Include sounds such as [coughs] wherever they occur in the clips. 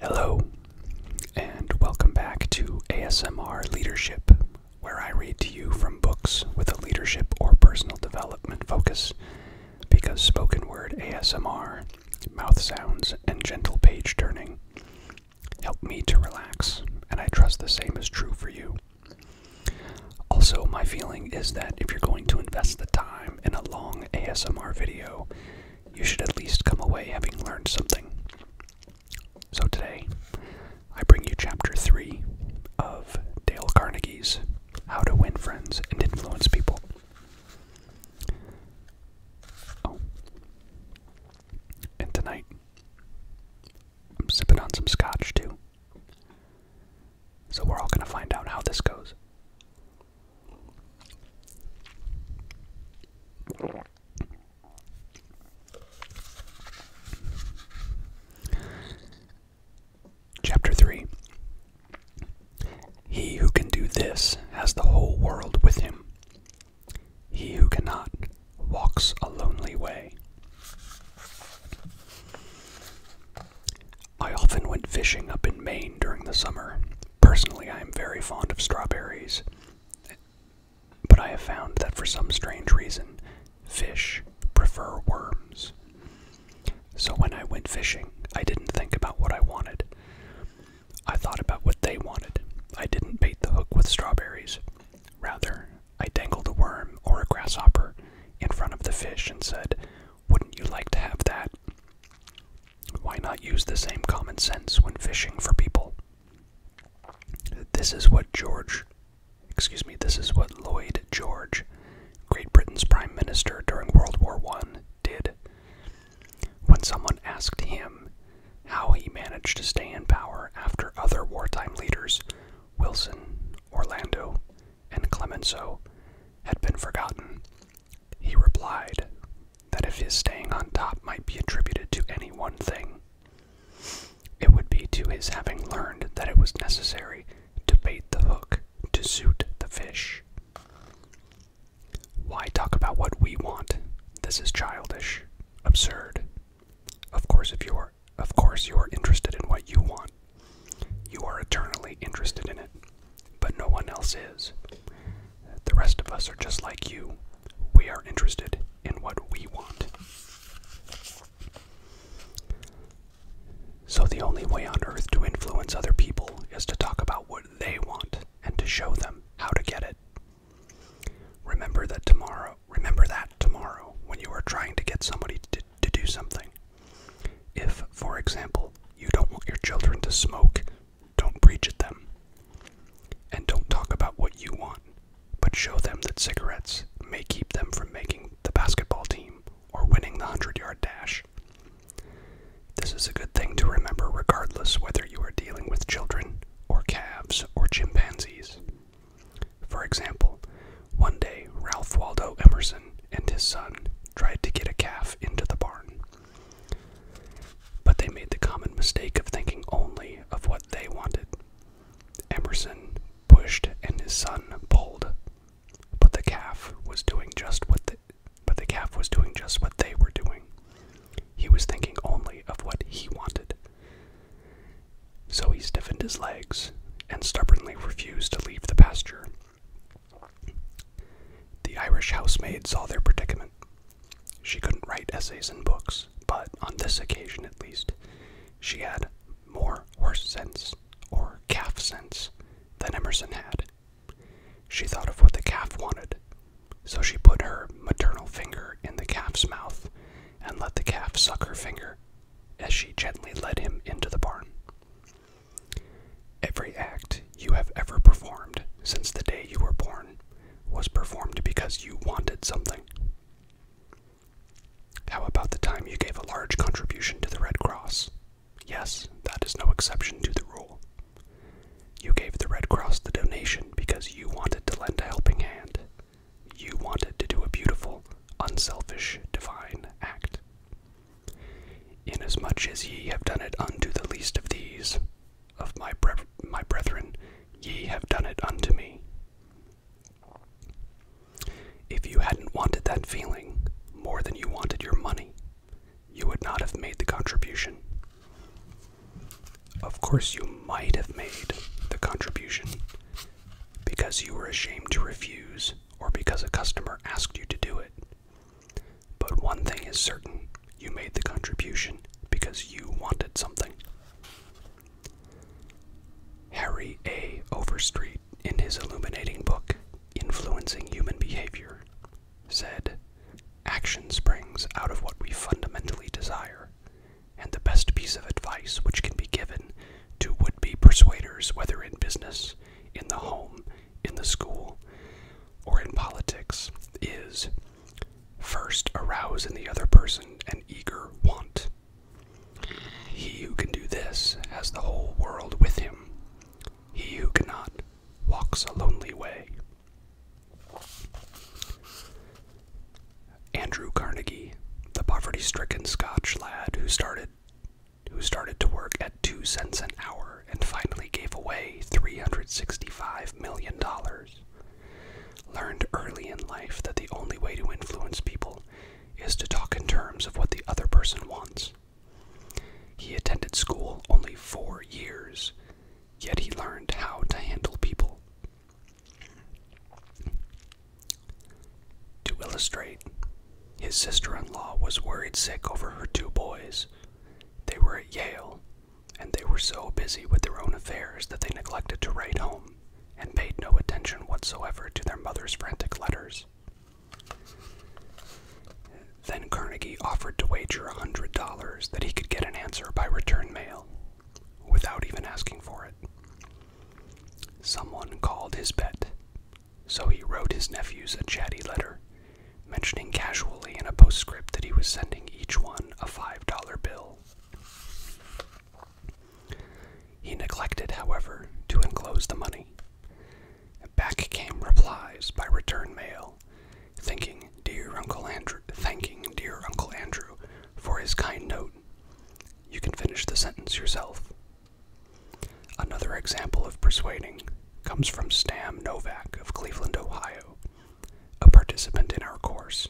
Hello, and welcome back to ASMR Leadership, where I read to you from books with a leadership or personal development focus, because spoken word ASMR, mouth sounds, and gentle page turning help me to relax, and I trust the same is true for you. Also, my feeling is that if you're going to invest the time in a long ASMR video, you should at least come away having learned something. So today, I bring you chapter 3 of Dale Carnegie's How to Win Friends and Influence People. Oh. And tonight, I'm sipping on some scotch too. So we're all going to find out how this goes. Chapter 3 He who can do this has the whole world with him. He who cannot walks a lonely way. I often went fishing up in Maine during the summer. Personally, I am very fond of strawberries, but I have found that for some strange reason, fish prefer worms. So when I went fishing, I didn't think about what I wanted. I thought about what they wanted. I didn't bait the hook with strawberries. Rather, I dangled a worm or a grasshopper in front of the fish and said, Wouldn't you like to have that? Why not use the same common sense when fishing for people? This is what George, excuse me, this is what Lloyd George, Great Britain's Prime Minister during World War I, did. When someone asked him how he managed to stay in power after other wartime leaders, Wilson, Orlando, and Clemenceau, had been forgotten, he replied that if his staying on top might be attributed to any one thing, it would be to his having learned that it was necessary to bait the hook to suit the fish. Why talk about what we want? This is childish, absurd. Of course, if you're, of course, you are interested in what you want. You are eternally interested in it but no one else is. The rest of us are just like you. We are interested in what we want. So, the only way on earth to influence other people is to talk about what they want and to show them how to get it. Remember that tomorrow, remember that tomorrow when you are trying to get somebody to, to do something. If, for example, you don't want your children to smoke, don't preach at them. And don't talk about what you want, but show them that cigarettes may keep them from making the basketball team or winning the 100 yard dash. This is a good thing to remember regardless whether you are dealing with children or calves or chimpanzees. For example, one day Ralph Waldo Emerson and his son tried to get a calf into the barn. But they made the common mistake of thinking only of what they wanted. Emerson pushed and his son pulled, but the calf was doing just what the, but the calf was doing just what they were doing. He was thinking only of what he wanted. So he stiffened his legs and stubbornly refused to leave the pasture the Irish housemaid saw their predicament. She couldn't write essays and books, but on this occasion at least, she had more horse sense or calf sense than Emerson had. She thought of what the calf wanted, so she put her maternal finger in the calf's mouth and let the calf suck her finger as she gently led him into the barn. Every act you have ever performed since the day you were born was performed because you wanted something. How about the time you gave a large contribution to the Red Cross? Yes, that is no exception to the rule. You gave the Red Cross the donation because you wanted to lend a helping hand. You wanted to do a beautiful, unselfish, divine act. Inasmuch as ye have done it unto the least of these, of my, my brethren, ye have done it unto me. If you hadn't wanted that feeling more than you wanted your money, you would not have made the contribution. Of course, you might have made the contribution because you were ashamed to refuse or because a customer asked you to do it. But one thing is certain you made the contribution because you wanted something. Harry A. Overstreet, in his illuminating book, Influencing Human Behavior, said, "Actions springs out of what we fundamentally desire, and the best piece of advice which can be given to would be persuaders, whether in business, in the home, in the school or in politics is first arouse in the other person an eager want. He who can do this has the whole world with him. He who cannot walks a lonely way. Andrew Carnegie, the poverty stricken Scotch lad who started who started to work at two cents an hour and finally gave away $365 million. Learned early in life that the only way to influence people is to talk in terms of what the other person wants. He attended school only four years, yet he learned how to handle people. To illustrate, his sister in law was worried sick over her two boys. They were at Yale and they were so busy with their own affairs that they neglected to write home and paid no attention whatsoever to their mother's frantic letters. Then Carnegie offered to wager a hundred dollars that he could get an answer by return mail, without even asking for it. Someone called his bet, so he wrote his nephews a chatty letter mentioning casually in a postscript that he was sending each one a $5 bill. He neglected, however, to enclose the money. Back came replies by return mail, thanking dear Uncle Andrew, thanking dear Uncle Andrew for his kind note. You can finish the sentence yourself. Another example of persuading comes from Stam Novak of Cleveland, Ohio, a participant in our course.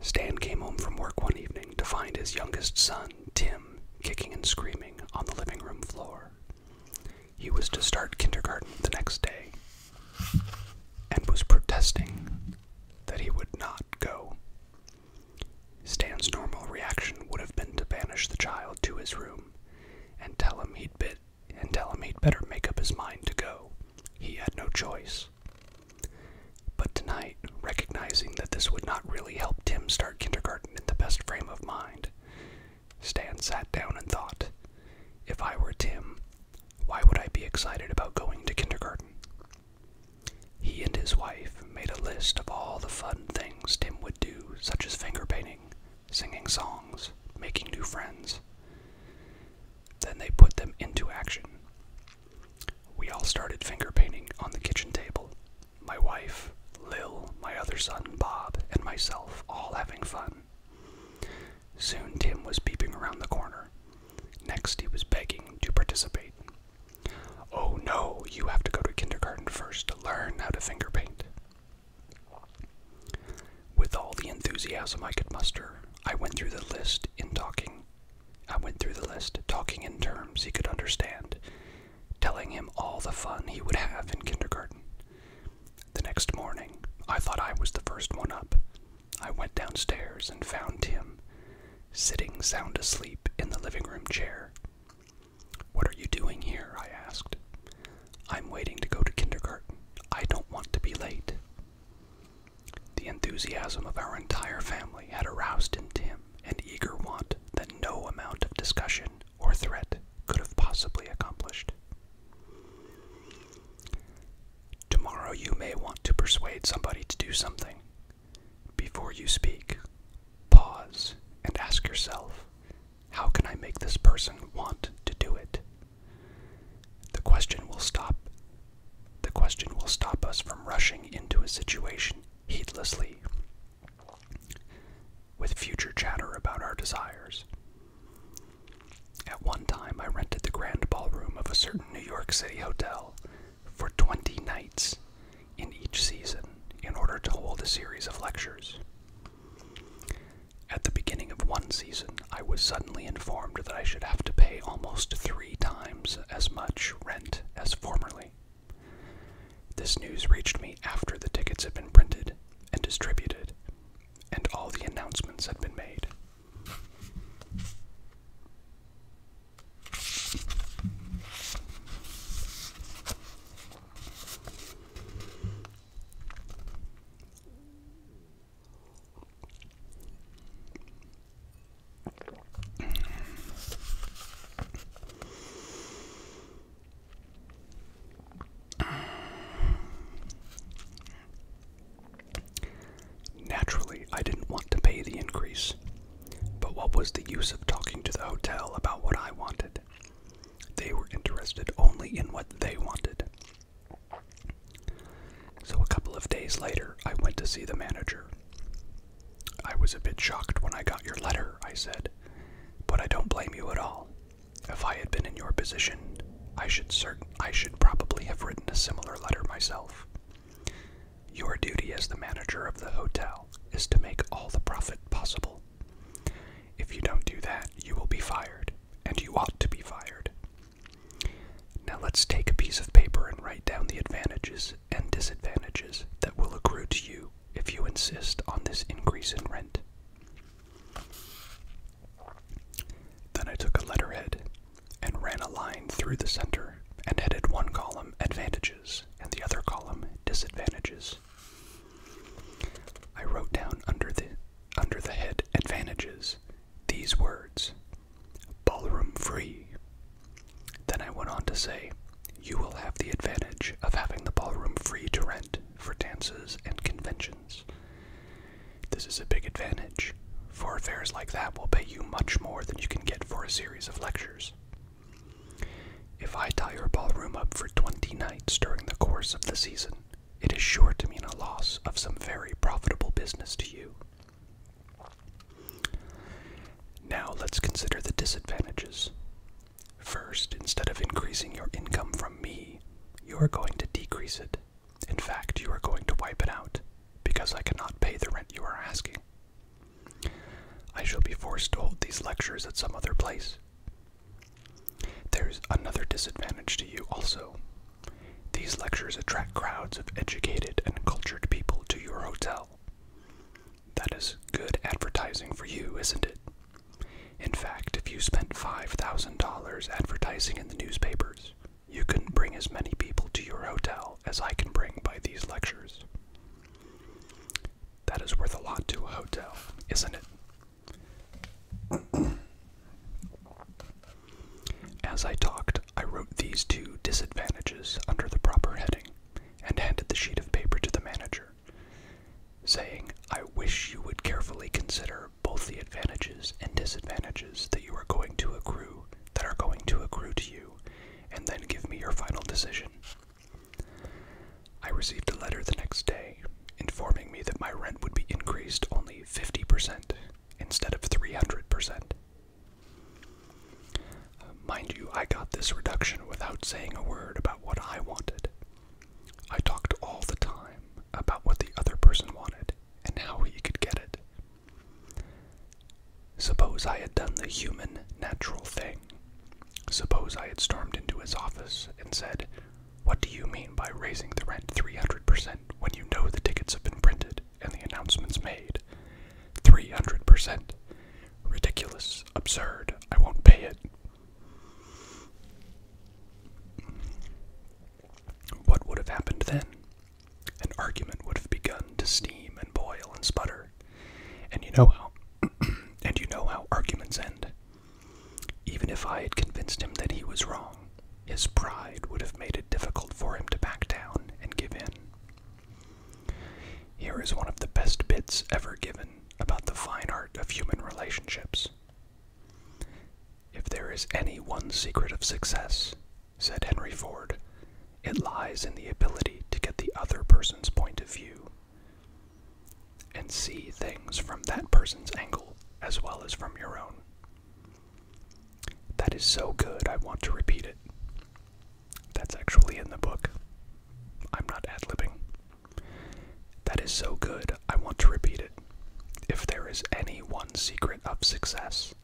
Stan came home from work one evening to find his youngest son, Tim, kicking and screaming on the living room floor. He was to start kindergarten the next day and was protesting that he would not go. Stan's normal reaction would have been to banish the child to his room and tell him he would bit and tell him he'd better make up his mind to go. He had no choice. But tonight, recognizing that this would not really help Tim start kindergarten in the best frame of mind, Stan sat down and thought, if I were Tim, why would I be excited about going to kindergarten? He and his wife made a list of all the fun things Tim would do, such as finger painting, singing songs, making new friends. Then they put them into action. We all started finger painting on the kitchen table. My wife, Lil, my other son, Bob, and myself all having fun. Soon Tim was peeping around the corner. Next, he was begging to participate. Oh no, you have to go to kindergarten first to learn how to finger paint. With all the enthusiasm I could muster, I went through the list in talking. I went through the list talking in terms he could understand, telling him all the fun he would have in kindergarten. The next morning, I thought I was the first one up. I went downstairs and found Tim, sitting sound asleep in the living room chair. What are you doing here? I asked. I'm waiting to go to kindergarten. I don't want to be late. The enthusiasm of our entire family had aroused in Tim an eager want that no amount of discussion or threat could have possibly accomplished. Tomorrow you may want to persuade somebody to do something. Before you speak, pause and ask yourself how can I make this person want to do it? The question will stop. The question will stop us from rushing into a situation heedlessly with future chatter about our desires. At one time, I rented the grand ballroom of a certain New York City hotel for 20 nights in each season in order to hold a series of lectures. At the beginning of one season, I was suddenly informed that I should have to pay almost three times as much rent as formerly. This news reached me after the tickets had been printed and distributed, and all the announcements had been made. Naturally, I didn't want to pay the increase, but what was the use of talking to the hotel about what I wanted? They were interested only in what they wanted. So, a couple of days later, I went to see the manager. I was a bit shocked when I got your letter, I said, but I don't blame you at all. If I had been in your position, I should certain I should probably have written a similar letter myself. Your duty as the manager of the hotel is to make all the profit possible. If you don't do that, you will be fired and you ought to be fired. Now let's take a piece of paper and write down the advantages and disadvantages that will accrue to you if you insist on this increase in rent. Then I took a letterhead and ran a line through the center and headed one column advantages and the other column disadvantages. I wrote down under the under the head advantages these words ballroom free. Then I went on to say, You will have the advantage of having the ballroom free to rent for dances and conventions. This is a big advantage, for affairs like that will pay you much more than you can get for a series of lectures. If I tie your ballroom up for 20 nights during the course of the season, it is sure to mean a loss of some very profitable business to you. Now let's consider the disadvantages. First, instead of increasing your income from me, you are going to decrease it. In fact, you are going to wipe it out, because I cannot pay the rent you are asking. I shall be forced to hold these lectures at some other place, there's another disadvantage to you also. These lectures attract crowds of educated and cultured people to your hotel. That is good advertising for you, isn't it? In fact, if you spent $5,000 advertising in the newspapers, you can bring as many people to your hotel as I can bring by these lectures. That is worth a lot to a hotel, isn't it? As I talked, I wrote these two disadvantages under the proper heading and handed the sheet of paper to the manager, saying, I wish you would carefully consider both the advantages and disadvantages that you are going to accrue that are going to accrue to you, and then give me your final decision. I received a letter the next day informing me that my rent would be increased only 50% instead of 300%. mind you, I got this reduction without saying a word about what I wanted. I talked all the time about what the other person wanted and how he could get it. Suppose I had done the human, natural thing. Suppose I had stormed into his office and said, what do you mean by raising the rent 300% when you know the tickets have been printed and the announcements made? 300%. Ridiculous. Absurd. I won't pay it. What would have happened then? An argument would have begun to steam and boil and sputter. And you know how [clears throat] and you know how arguments end. Even if I had convinced him that he was wrong, his pride would have made it difficult for him to back down and give in. Here is one of the best bits ever given about the fine art of human relationships. If there is any one secret of success, said Henry Ford, it lies in the ability to get the other person's point of view and see things from that person's angle as well as from your own. That is so good, I want to repeat it. That's actually in the book. I'm not ad libbing. That is so good, I want to repeat it. If there is any one secret of success,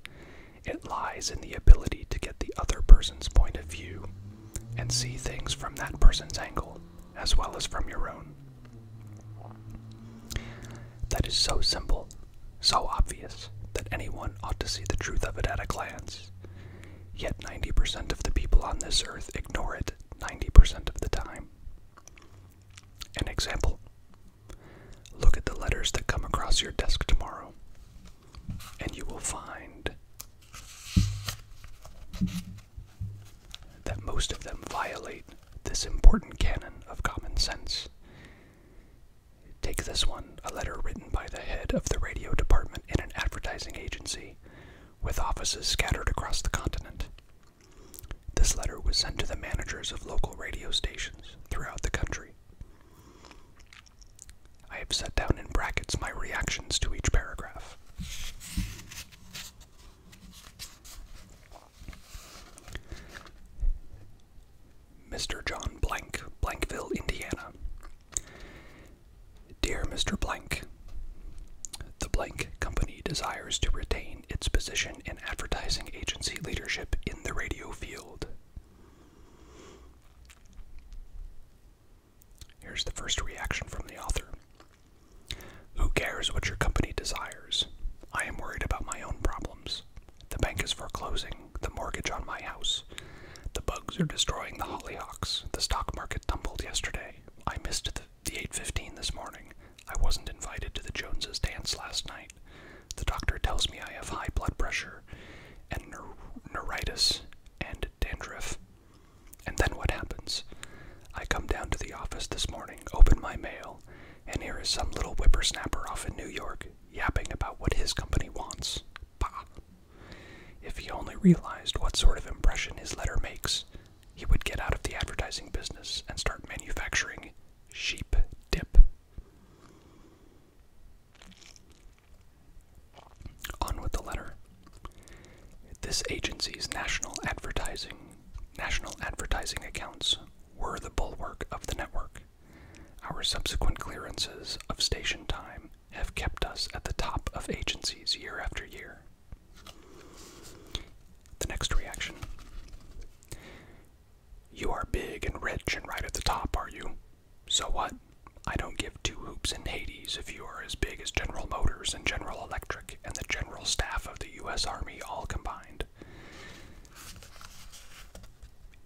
it lies in the ability to get the other person's point of view and see things from that person's angle as well as from your own. That is so simple, so obvious, that anyone ought to see the truth of it at a glance. Yet 90% of the people on this earth ignore it 90% of the time. An example look at the letters that come across your desk tomorrow, and you will find that most of them violate this important canon of common sense. Take this one, a letter written by the head of the radio department in an advertising agency with offices scattered across the continent. This letter was sent to the managers of local radio stations throughout the country. I have set down in brackets my reactions to each paragraph. Mr. John Blank, Blankville, Indiana. Dear Mr. Blank, the Blank Company desires to retain its position in advertising agency leadership in the radio field. Here's the first reaction from the author Who cares what your company desires? I am worried about my own problems. The bank is foreclosing the mortgage on my house. The bugs are destroying the hollyhocks. The stock market tumbled yesterday. I missed the, 8:15 this morning. I wasn't invited to the Joneses dance last night. The doctor tells me I have high blood pressure and neuritis and dandruff. And then what happens? I come down to the office this morning, open my mail, and here is some little whippersnapper off in New York yapping about what his company wants. Bah! If he only realized what sort of impression his letter makes, he would get out of the advertising business and start manufacturing sheep dip. On with the letter. This agency's national advertising national advertising accounts were the bulwark of the network. Our subsequent clearances of station time have kept us at the top of agencies year after year. The next reaction You are big and rich and right at the top, are you? So what? I don't give two hoops in Hades if you are as big as General Motors and General Electric and the general staff of the U.S. Army all combined.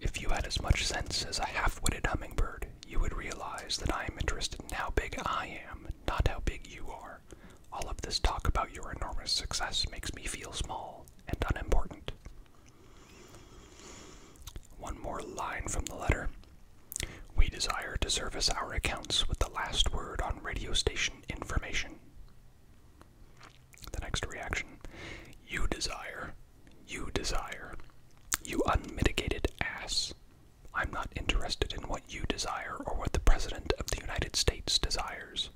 If you had as much sense as a half witted hummingbird, you would realize that I am interested in how big I am, not how big you are. All of this talk about your enormous success makes me feel small and unimportant. One more line from the letter. We desire to service our accounts with the last word on radio station information. The next reaction you desire, you desire, you unmitigated ass. I'm not interested in what you desire or what the President of the United States desires.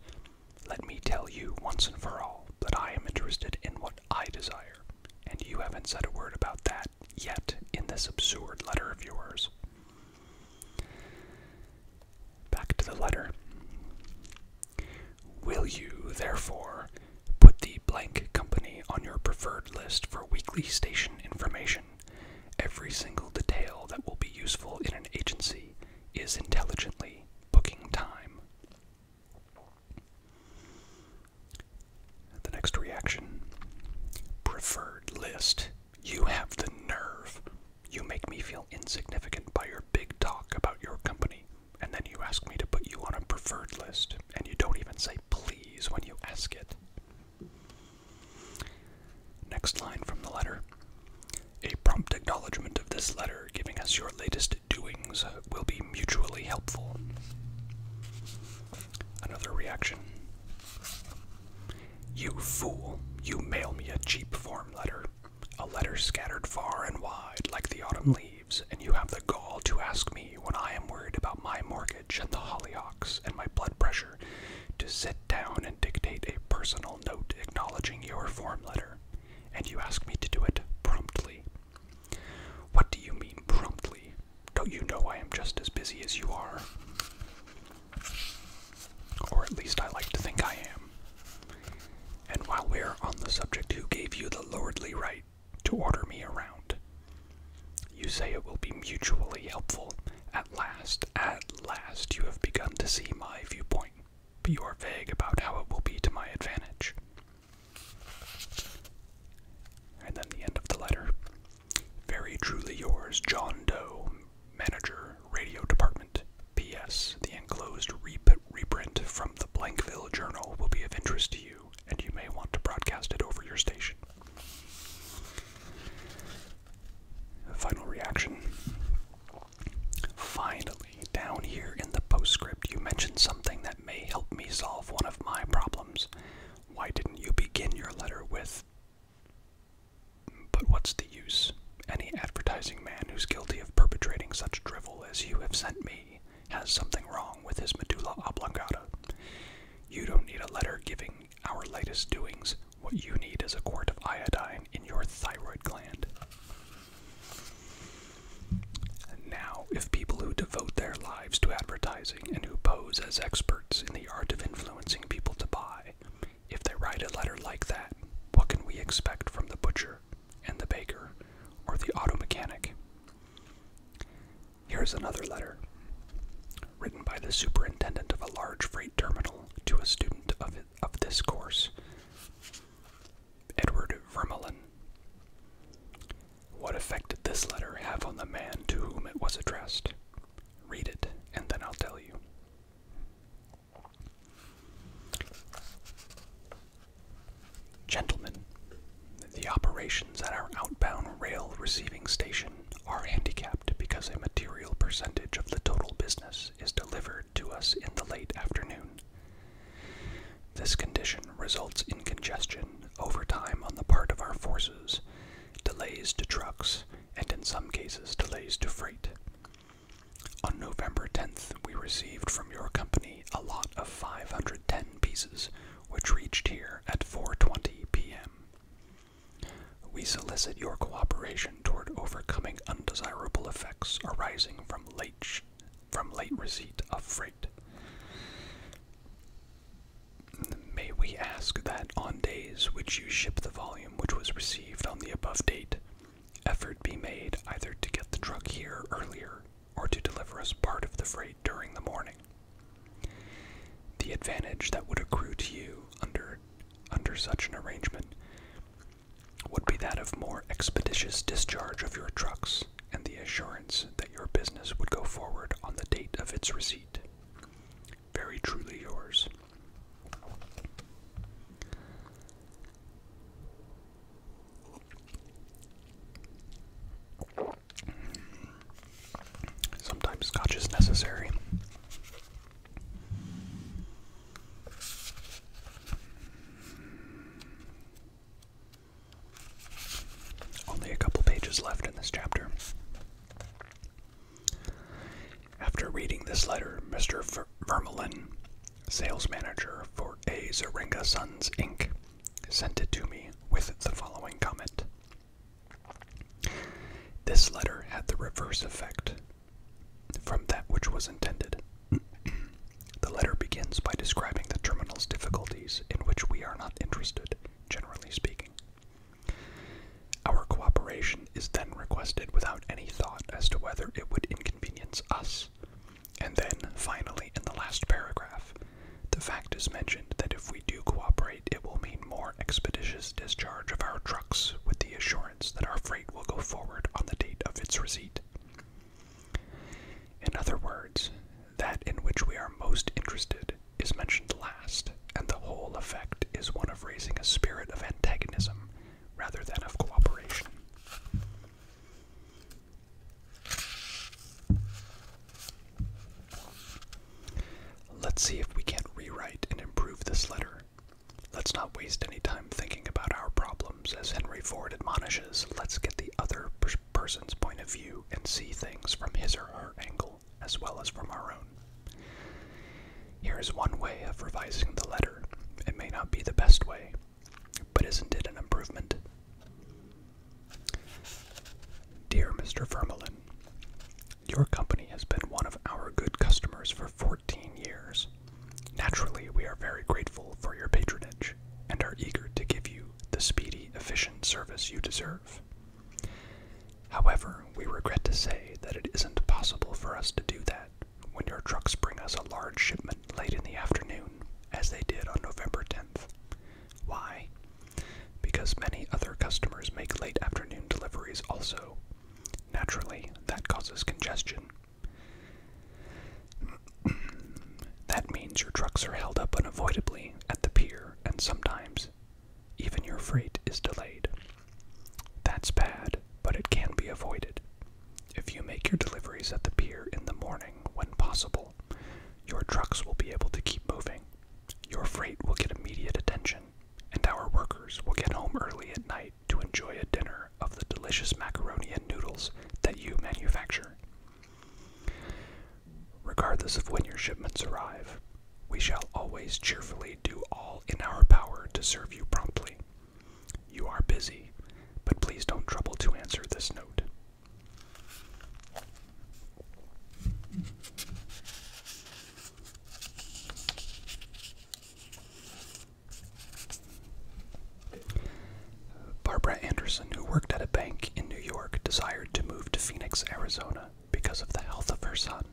Let me tell you once and for all that I am interested in what I desire, and you haven't said a word about that yet in this absurd letter of yours. Back to the letter. Will you, therefore, put the blank company on your preferred list for weekly station information? Every single detail that will be useful in an agency is intelligently booking time. The next reaction Preferred list. You have the nerve. You make me feel insignificant by your big talk about your company, and then you ask me to put you on a preferred list, and you don't even say please when you ask it. Next line from the letter. A prompt acknowledgement of this letter giving us your latest doings will be mutually helpful. Another reaction. You fool, you mail me a cheap form letter. A letter scattered far and wide like the autumn leaves, and you have the gall to ask me when I am worried about my mortgage and the hollyhocks and my blood pressure to sit down and dictate a personal note acknowledging your form letter, and you ask me to do it promptly. What do you mean promptly? Don't you know I am just as busy as you are? Or at least I like to think I am. And while we are on the subject, who gave you the lordly right to order me around? You say it will be mutually helpful. At last, at last, you have begun to see my viewpoint, but you are vague about how it will be to my advantage. And then the end of the letter. Very truly yours, John Doe, Manager, Radio Department, P.S. The enclosed reprint from the Blankville Journal will be of interest to you, and you may want to broadcast it over your station. Final reaction. Finally, down here in the postscript, you mentioned something that may help me solve one of my problems. Why didn't you begin your letter with? But what's the use? Any advertising man who's guilty of perpetrating such drivel as you have sent me has something wrong with his medulla oblongata. You don't need a letter giving our latest doings. What you need is a quart of iodine in your thyroid gland. Now, if people who devote their lives to advertising and who pose as experts in the art of influencing people to buy, if they write a letter like that, what can we expect from the butcher and the baker, or the auto mechanic. Here's another letter, written by the superintendent of a large freight terminal to a student of, of this course, Edward Vermelin. What effect did this letter have on the man to whom it was addressed? Read it, and then I'll tell you. Gentlemen, the operations at our outbound rail receiving station are handicapped because a material percentage of the total business is delivered to us in the late afternoon. This condition results in congestion, overtime on the part of our forces, delays to trucks, and in some cases, delays to freight. On November 10th, we received from your company a lot of 510 pieces, which reached here at 4:20 p.m. We solicit your cooperation toward overcoming undesirable effects arising from late from late receipt of freight. May we ask that on days which you ship the volume which was received on the above date, effort be made either to get the truck here earlier or to deliver us part of the freight during the morning. The advantage that would accrue to you under under such an arrangement would be that of more expeditious discharge of your trucks and the assurance that your business would go forward on the date of its receipt. Very truly yours. Sometimes scotch is necessary. Only a couple pages left in this chapter. After reading this letter, Mr. Vermelin sales manager for A. Zaringa Sons Inc., sent it to me with the following comment. This letter had the reverse effect from that which was intended. [clears throat] the letter begins by describing the terminal's difficulties in which we are not interested, generally speaking. Our cooperation is then requested without any thought as to whether it would inconvenience us and then, finally, in the last paragraph, the fact is mentioned that if we do cooperate, it will mean more expeditious discharge of our trucks with the assurance that our freight will go forward on the date of its receipt. In other words, that in which we are most interested is mentioned last, and the whole effect is one of raising a spirit of antagonism rather than of cooperation. Let's see if we can't rewrite and improve this letter. Let's not waste any time thinking about our problems. As Henry Ford admonishes, let's get the other person's point of view and see things from his or her angle as well as from our own. Here is one way of revising the letter. It may not be the best way, but isn't it an improvement? Dear Mr. Vermelin, your company has been one of our good customers for 14 years. Naturally, we are very grateful for your patronage and are eager to give you the speedy, efficient service you deserve. However, we regret to say that it isn't possible for us to do that when your trucks bring us a large shipment late in the afternoon, as they did on November 10th. Why? Because many other customers make late afternoon deliveries also. Naturally, that causes congestion. [clears throat] that means your trucks are held up unavoidably at the pier, and sometimes even your freight is delayed. That's bad, but it can be avoided. If you make your deliveries at the pier in the morning when possible, your trucks will be able to keep moving, your freight will get immediate attention, and our workers will get home early at night to enjoy a dinner of the delicious macaroni and noodles that you manufacture. Regardless of when your shipments arrive, we shall always cheerfully do all in our power to serve you promptly. You are busy, but please don't trouble to answer this note. Barbara Anderson, who worked at a bank in New York, desired to move to Phoenix, Arizona because of the health of her son.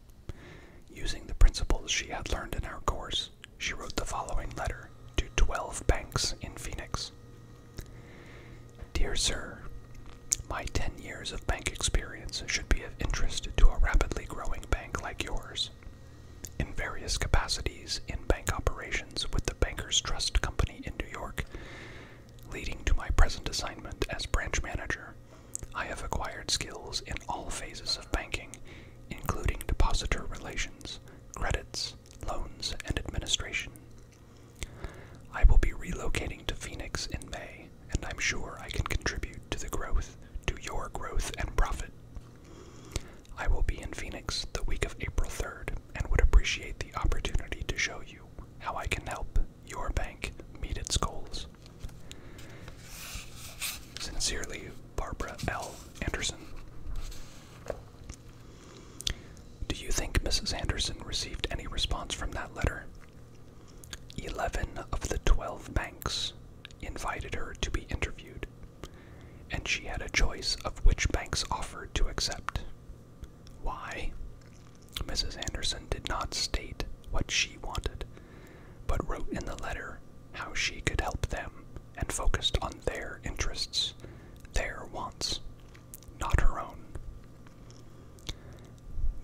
Using the principles she had learned in our course, she wrote the following letter to 12 banks in Phoenix. Dear Sir, my 10 years of bank experience should be of interest to a rapidly growing bank like yours. In various capacities in bank operations with the Bankers Trust Company in New York, leading to my present assignment as branch manager, I have acquired skills in all phases of banking, including depositor relations, credits, loans, and administration. I will be relocating to Phoenix in May, and I'm sure I can contribute to the growth, to your growth and profit. I will be in Phoenix the week of April 3rd and would appreciate the opportunity to show you how I can help your bank meet its goals. Sincerely, Barbara L. Anderson. Do you think Mrs. Anderson received any response from that letter? Eleven of the twelve banks invited her to be interviewed, and she had a choice of which banks offered to accept. Why? Mrs. Anderson did not state what she wanted, but wrote in the letter how she could help them and focused on their interests, their wants, not her own.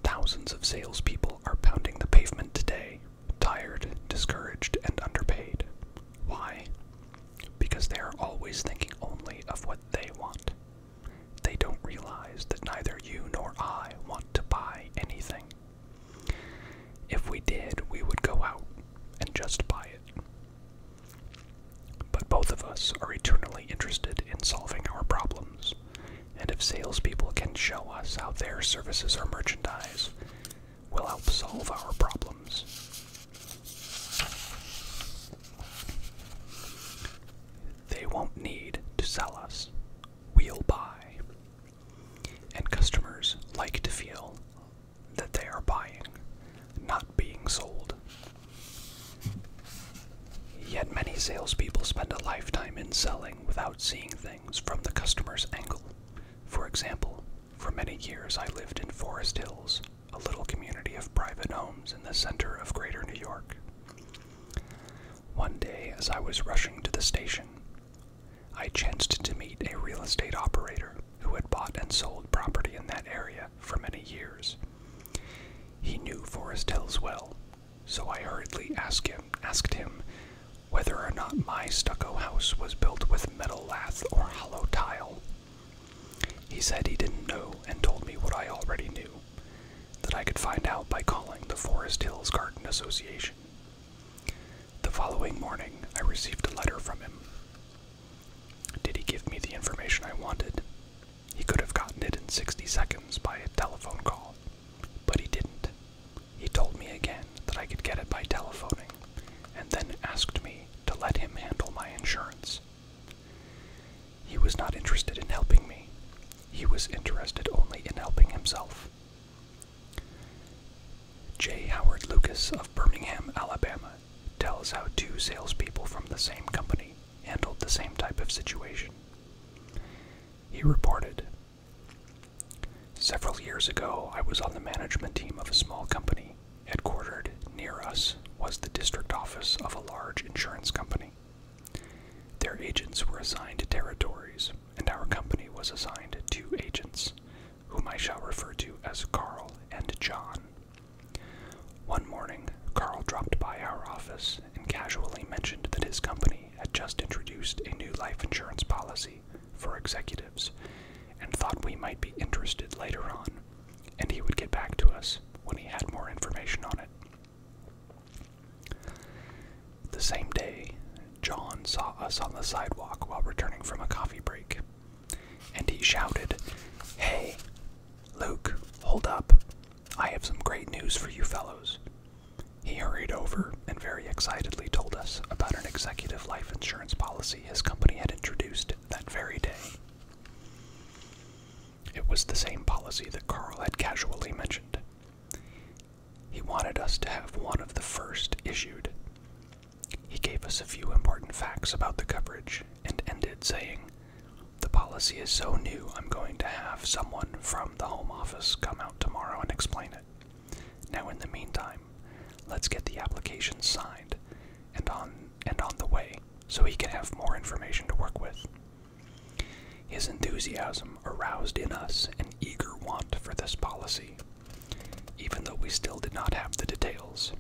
Thousands of salespeople are pounding the pavement today, tired, discouraged, and underpaid. Why? Because they are always thinking only of what they want. They don't realize that neither you nor I want to buy anything. If we did, we would go out and just buy it. But both of us are eternally interested in solving our problems, and if salespeople can show us how their services or merchandise will help solve our problems. They won't need to sell us, we'll buy. And customers like to feel that they are buying, not being sold. Yet many salespeople spend a lifetime in selling without seeing things from the customer's angle. For example, for many years I lived in Forest Hills, a little community of private homes in the center of greater New York. One day, as I was rushing to the station, I chanced to meet a real estate operator who had bought and sold property in that area for many years. He knew Forest Hills well, so I hurriedly asked him, asked him whether or not my stucco house was built with metal lath or hollow tile. He said he didn't know and told me what I already knew that I could find out by calling the Forest Hills Garden Association. The following morning, I received a letter from him. Did he give me the information I wanted? He could have gotten it in 60 seconds by a telephone call, but he didn't. He told me again that I could get it by telephoning, and then asked me to let him handle my insurance. He was not interested in helping me. He was interested only in helping himself. J. Howard Lucas of Birmingham, Alabama, tell us how two salespeople from the same company handled the same type of situation. He reported Several years ago, I was on the management team of a small company. Headquartered near us was the district office of a large insurance company. Their agents were assigned territories, and our company was assigned two agents, whom I shall refer to as Carl and John. One morning, Carl dropped by our office and casually mentioned that his company had just introduced a new life insurance policy for executives and thought we might be interested later on, and he would get back to us when he had more information on it. The same day, John saw us on the sidewalk while returning from a coffee break, and he shouted, Hey, Luke, hold up. I have some great news for you fellows. He hurried over and very excitedly told us about an executive life insurance policy his company had introduced that very day. It was the same policy that Carl had casually mentioned. He wanted us to have one of the first issued. He gave us a few important facts about the coverage and ended saying, the policy is so new, I'm going to have someone from the Home Office come out tomorrow and explain it. Now, in the meantime, let's get the application signed and on and on the way so he can have more information to work with. His enthusiasm aroused in us an eager want for this policy, even though we still did not have the details.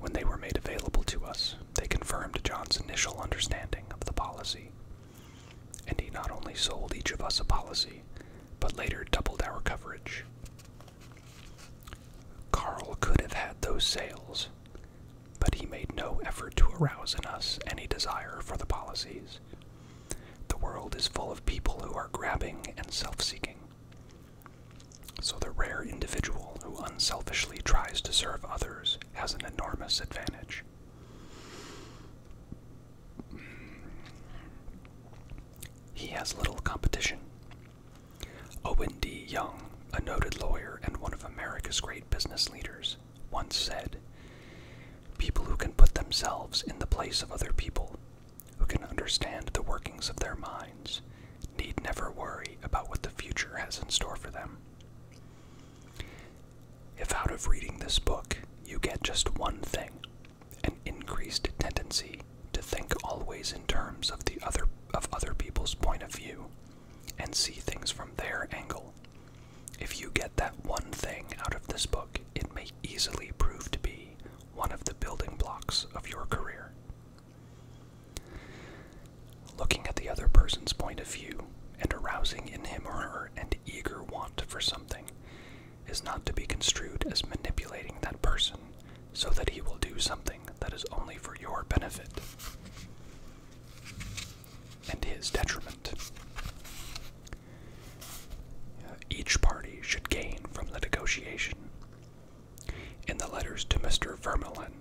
When they were made available to us, they confirmed John's initial understanding of the policy. And he not only sold each of us a policy, but later doubled our coverage. Carl could have had those sales, but he made no effort to arouse in us any desire for the policies. The world is full of people who are grabbing and self seeking. So the rare individual who unselfishly tries to serve others has an enormous advantage. He has little competition. Owen D. Young, a noted lawyer and one of America's great business leaders, once said People who can put themselves in the place of other people, who can understand the workings of their minds, need never worry about what the future has in store for them. If out of reading this book you get just one thing, an increased tendency to think always in terms of the other of other people's point of view and see things from their angle. If you get that one thing out of this book, it may easily prove to be one of the building blocks of your career. Looking at the other person's point of view and arousing in him or her an eager want for something is not to be construed as manipulating that person so that he will do something that is only for your benefit and his detriment. Each party should gain from the negotiation in the letters to Mr. Vermilin.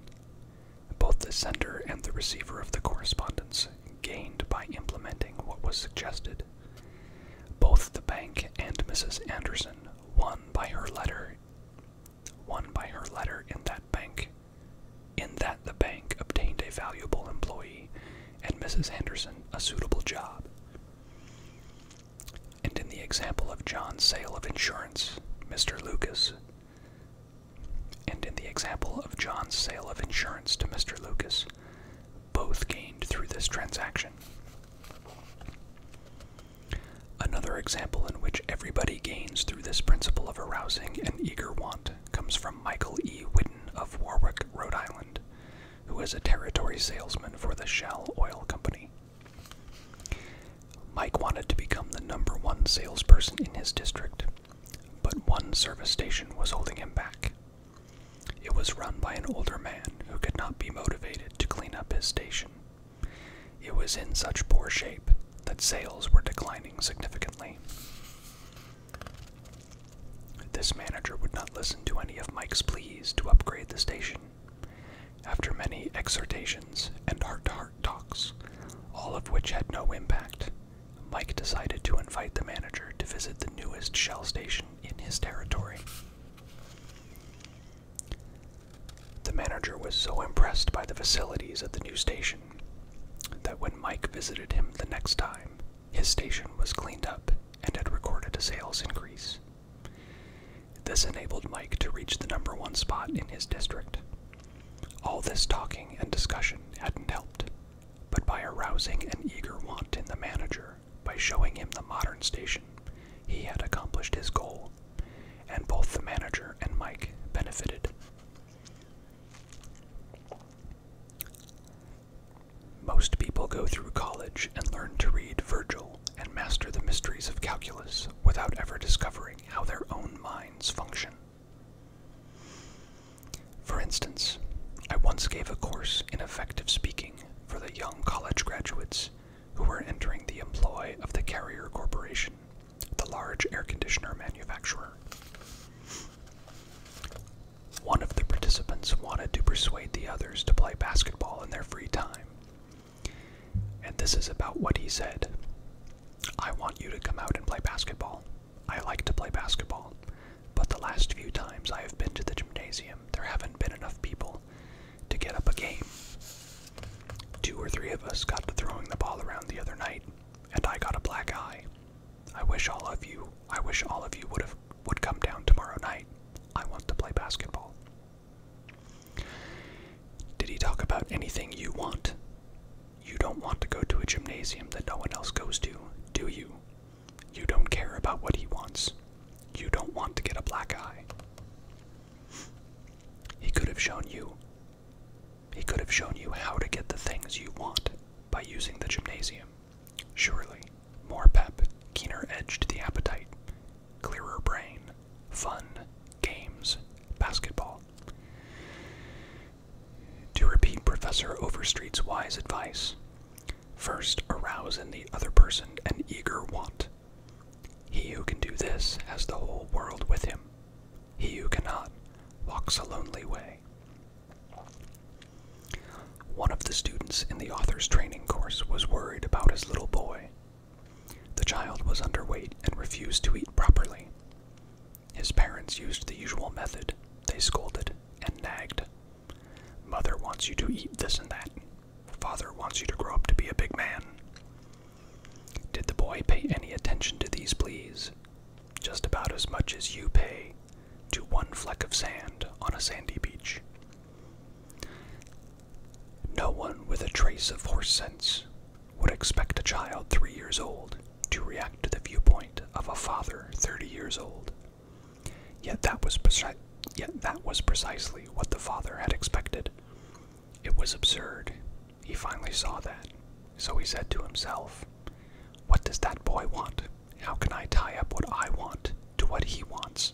Both the sender and the receiver of the correspondence gained by implementing what was suggested. Both the bank and Mrs. Anderson won by her letter won by her letter in that bank in that the bank obtained a valuable employee and Mrs. Anderson a suitable job. And in the example of John's sale of insurance, Mr. Lucas and in the example of John's sale of insurance to Mr. Lucas, both gained through this transaction. Another example in which everybody gains through this principle of arousing an eager want comes from Michael E. Whitten of Warwick, Rhode Island, who is a territory salesman for the Shell Oil Company. Mike wanted to become the number one salesperson in his district, but one service station was holding him back. It was run by an older man who could not be motivated to clean up his station. It was in such poor shape that sales were declining significantly. This manager would not listen to any of Mike's pleas to upgrade the station. After many exhortations and heart to heart talks, all of which had no impact. Mike decided to invite the manager to visit the newest shell station in his territory. The manager was so impressed by the facilities at the new station that when Mike visited him the next time, his station was cleaned up and had recorded a sales increase. This enabled Mike to reach the number one spot in his district, all this talking and discussion hadn't helped, but by arousing an eager want in the manager, by showing him the modern station, he had accomplished his goal, and both the manager and Mike benefited. Most people go through college and learn to read Virgil and master the mysteries of calculus without ever discovering how their own minds function. For instance, I once gave a course in effective speaking for the young college graduates who were entering the employ of the Carrier Corporation, the large air conditioner manufacturer. One of the participants wanted to persuade the others to play basketball in their free time. And this is about what he said I want you to come out and play basketball. I like to play basketball, but the last few times I have been to the gymnasium, there haven't been enough people to get up a game. Two or three of us got to throwing the ball around the other night, and I got a black eye. I wish all of you, I wish all of you would have would come down tomorrow night. I want to play basketball. Did he talk about anything you want? You don't want to go to a gymnasium that no one else goes to, do you? You don't care about what he wants. You don't want to get a black eye. He could have shown you. He could have shown you how to get the things you want by using the gymnasium. Surely, more pep, keener edge to the appetite, clearer brain, fun, games, basketball. To repeat Professor Overstreet's wise advice, first arouse in the other person an eager want. He who can do this has the whole world with him. He who cannot walks a lonely way. One of the students in the author's training course was worried about his little boy. The child was underweight and refused to eat properly. His parents used the usual method. They scolded and nagged. Mother wants you to eat this and that. Father wants you to grow up to be a big man. Did the boy pay any attention to these pleas? Just about as much as you pay to one fleck of sand on a sandy beach. No one with a trace of horse sense would expect a child three years old to react to the viewpoint of a father 30 years old. Yet that was, precisely what the father had expected. It was absurd. He finally saw that. So he said to himself, What does that boy want? How can I tie up what I want to what he wants?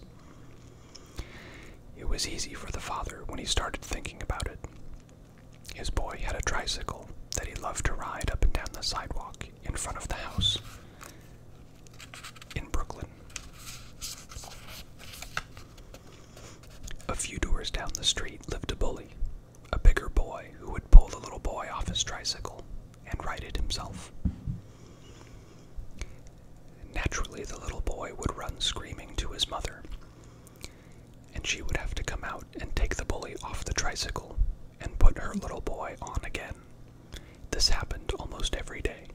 It was easy for the father when he started thinking about it. His boy had a tricycle that he loved to ride up and down the sidewalk in front of the house in Brooklyn. A few doors down the street lived a bully, a bigger boy who would pull the little boy off his tricycle and ride it himself. Naturally, the little boy would run screaming to his mother, and she would have to come out and take the bully off the tricycle and put her little boy on again. This happened almost every day.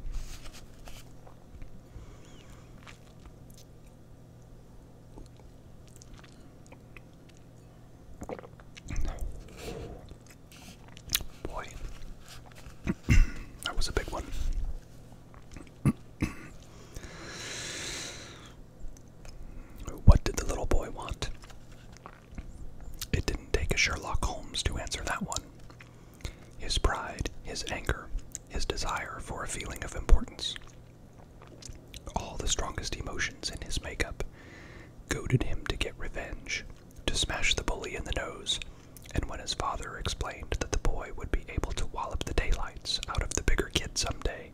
Boy, [clears throat] that was a big one. [clears throat] What did the little boy want? It didn't take a Sherlock Holmes to answer that one. His pride, his anger, his desire for a feeling of importance. All the strongest emotions in his makeup goaded him to get revenge, to smash the bully in the nose, and when his father explained that the boy would be able to wallop the daylights out of the bigger kid someday,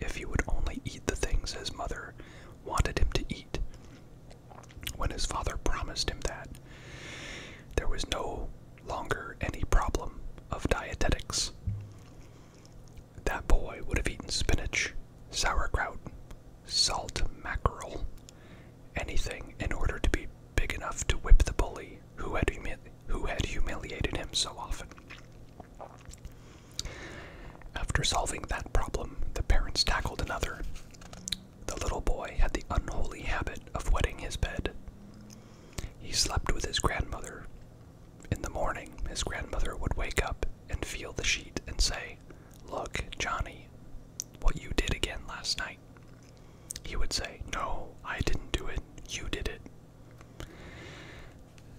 if he would only eat the things his mother wanted him to eat. When his father promised him that, there was no longer any problem of dietetics. That boy would have eaten spinach, sauerkraut, salt mackerel, anything in order to be big enough to whip the bully who had who had humiliated him so often. After solving that problem, the parents tackled another. The little boy had the unholy habit of wetting his bed. He slept with his grandmother. In the morning, his grandmother would wake up and feel the sheet and say, Look, Johnny, what you did again last night. He would say, No, I didn't do it. You did it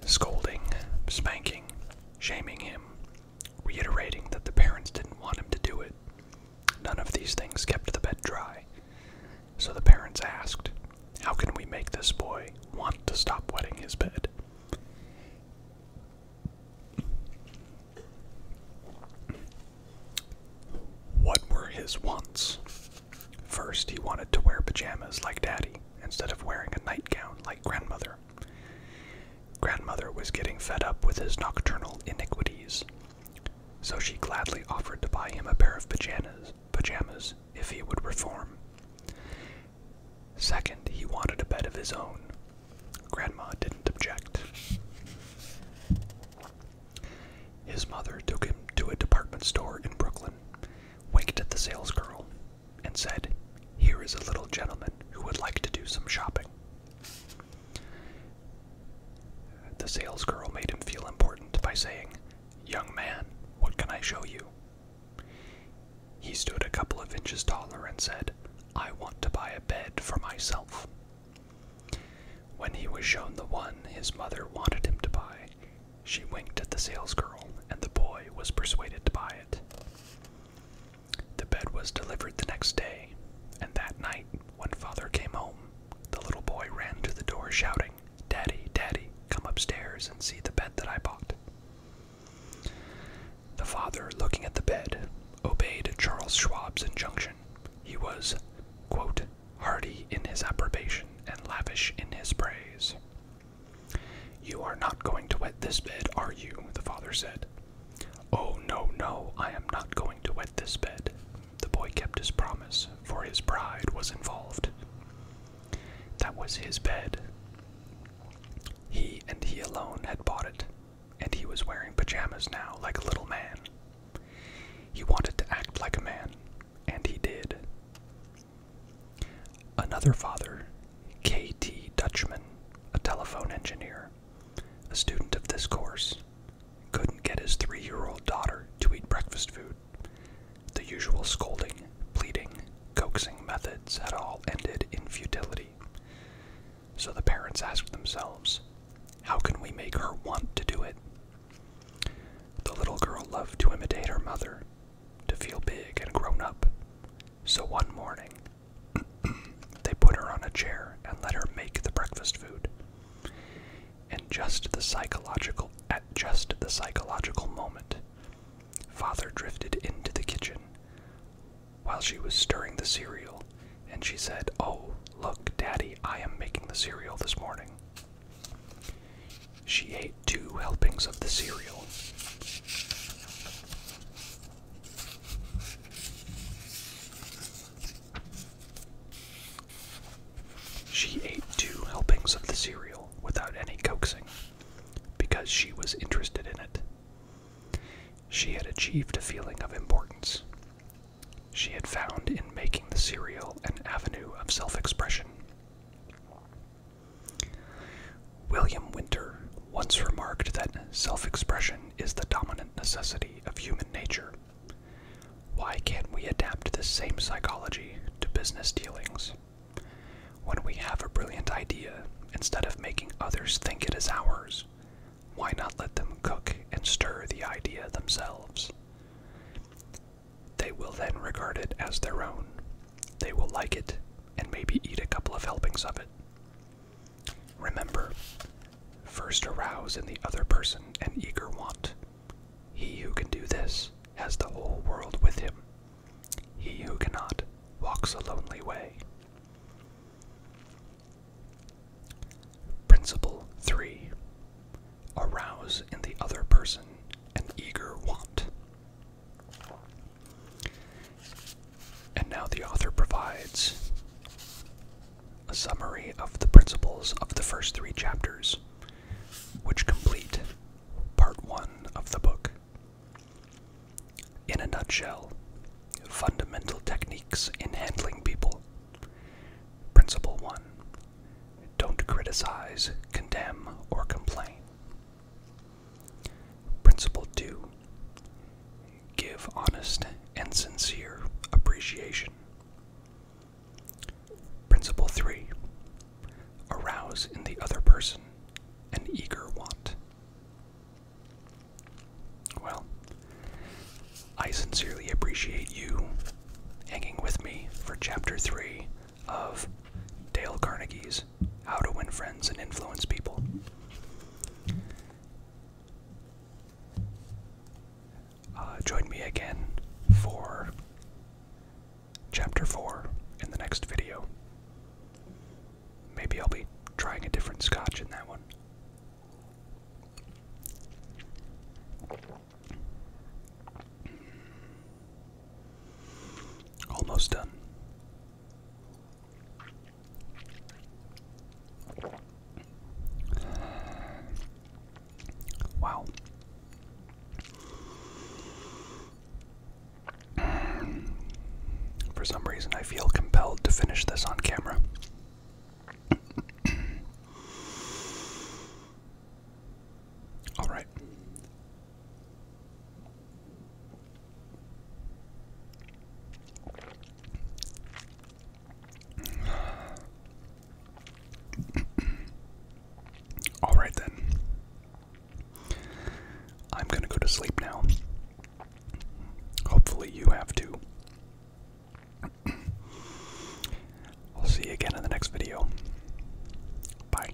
scolding, spanking, shaming him, reiterating that the parents didn't want him to do it. None of these things kept the bed dry. So the parents asked, How can we make this boy want to stop wetting his bed? What were his wants? First, he wanted to wear pajamas like Daddy instead of wearing a nightgown like Grandmother. Grandmother was getting fed up with his nocturnal iniquities, so she gladly offered to buy him a pair of pajamas, pajamas if he would reform. Second, he wanted a bed of his own. Grandma didn't object. His mother took him to a department store in Brooklyn, winked at the salesgirl, and said, Here is a little gentleman who would like to do some shopping. The sales girl made him feel important by saying, Young man, what can I show you? He stood a couple of inches taller and said, I want to buy a bed for myself. When he was shown the one his mother wanted him to buy, she winked at the salesgirl, and the boy was persuaded to buy it. The bed was delivered the next day, and that night, when father came home, the little boy ran to the door shouting, Daddy, Daddy, come upstairs and see the bed that I bought. The father, looking at the bed, obeyed Charles Schwab's injunction. He was, quote, hearty in his approbation and lavish in his praise. You are not going to wet this bed, are you? the father said. Oh, no, no, I am not going to wet this bed. The boy kept his promise, for his pride was involved. That was his bed. He and he alone had bought it, and he was wearing pajamas now like a little man. He wanted to act like a man, and he did. Another father, K.T. Dutchman, a telephone engineer, a student of this course, couldn't get his three year old daughter to eat breakfast food. The usual scolding, pleading, coaxing methods had all ended in futility. So the parents asked themselves, how can we make her want to do it? The little girl loved to imitate her mother, to feel big and grown up. So one morning, [clears throat] they put her on a chair and let her make the breakfast food. And just the psychological at just the psychological moment, father drifted into the kitchen while she was stirring the cereal, and she said, "Oh, look, daddy, I am making the cereal this morning." She ate two helpings of the cereal. She ate two helpings of the cereal without any coaxing, because she was interested in it. She had achieved a feeling of importance. She had found in making the cereal an avenue of self expression. William Winter once remarked that self expression is the dominant necessity of human nature. Why can't we adapt this same psychology to business dealings? When we have a brilliant idea, instead of making others think it is ours, why not let them cook and stir the idea themselves? They will then regard it as their own. They will like it and maybe eat a couple of helpings of it. Remember, first arouse in the other person an eager want. He who can do this has the whole world with him. He who cannot walks a lonely way. Principle 3 Arouse in the other person an eager want. And now the author provides a summary of the principles of the first three chapters, which complete part one of the book. In a nutshell, fundamental techniques in handling people. Principle 1 Don't criticize, condemn, or complain. Principle 2 Give honest and sincere appreciation. Principle 3 Arouse in the other person an eager want. Well, I sincerely appreciate you hanging with me for Chapter 3 of Dale Carnegie's How to Win Friends and Influence People. Uh, join me again for Chapter 4 in the next video. Maybe I'll be trying a different scotch in that one. Almost done. Wow. For some reason, I feel compelled to finish this on camera. [coughs] Alright, [sighs] All right, then. I'm going to go to sleep now. Hopefully, you have to. [clears throat] I'll see you again in the next video. Bye.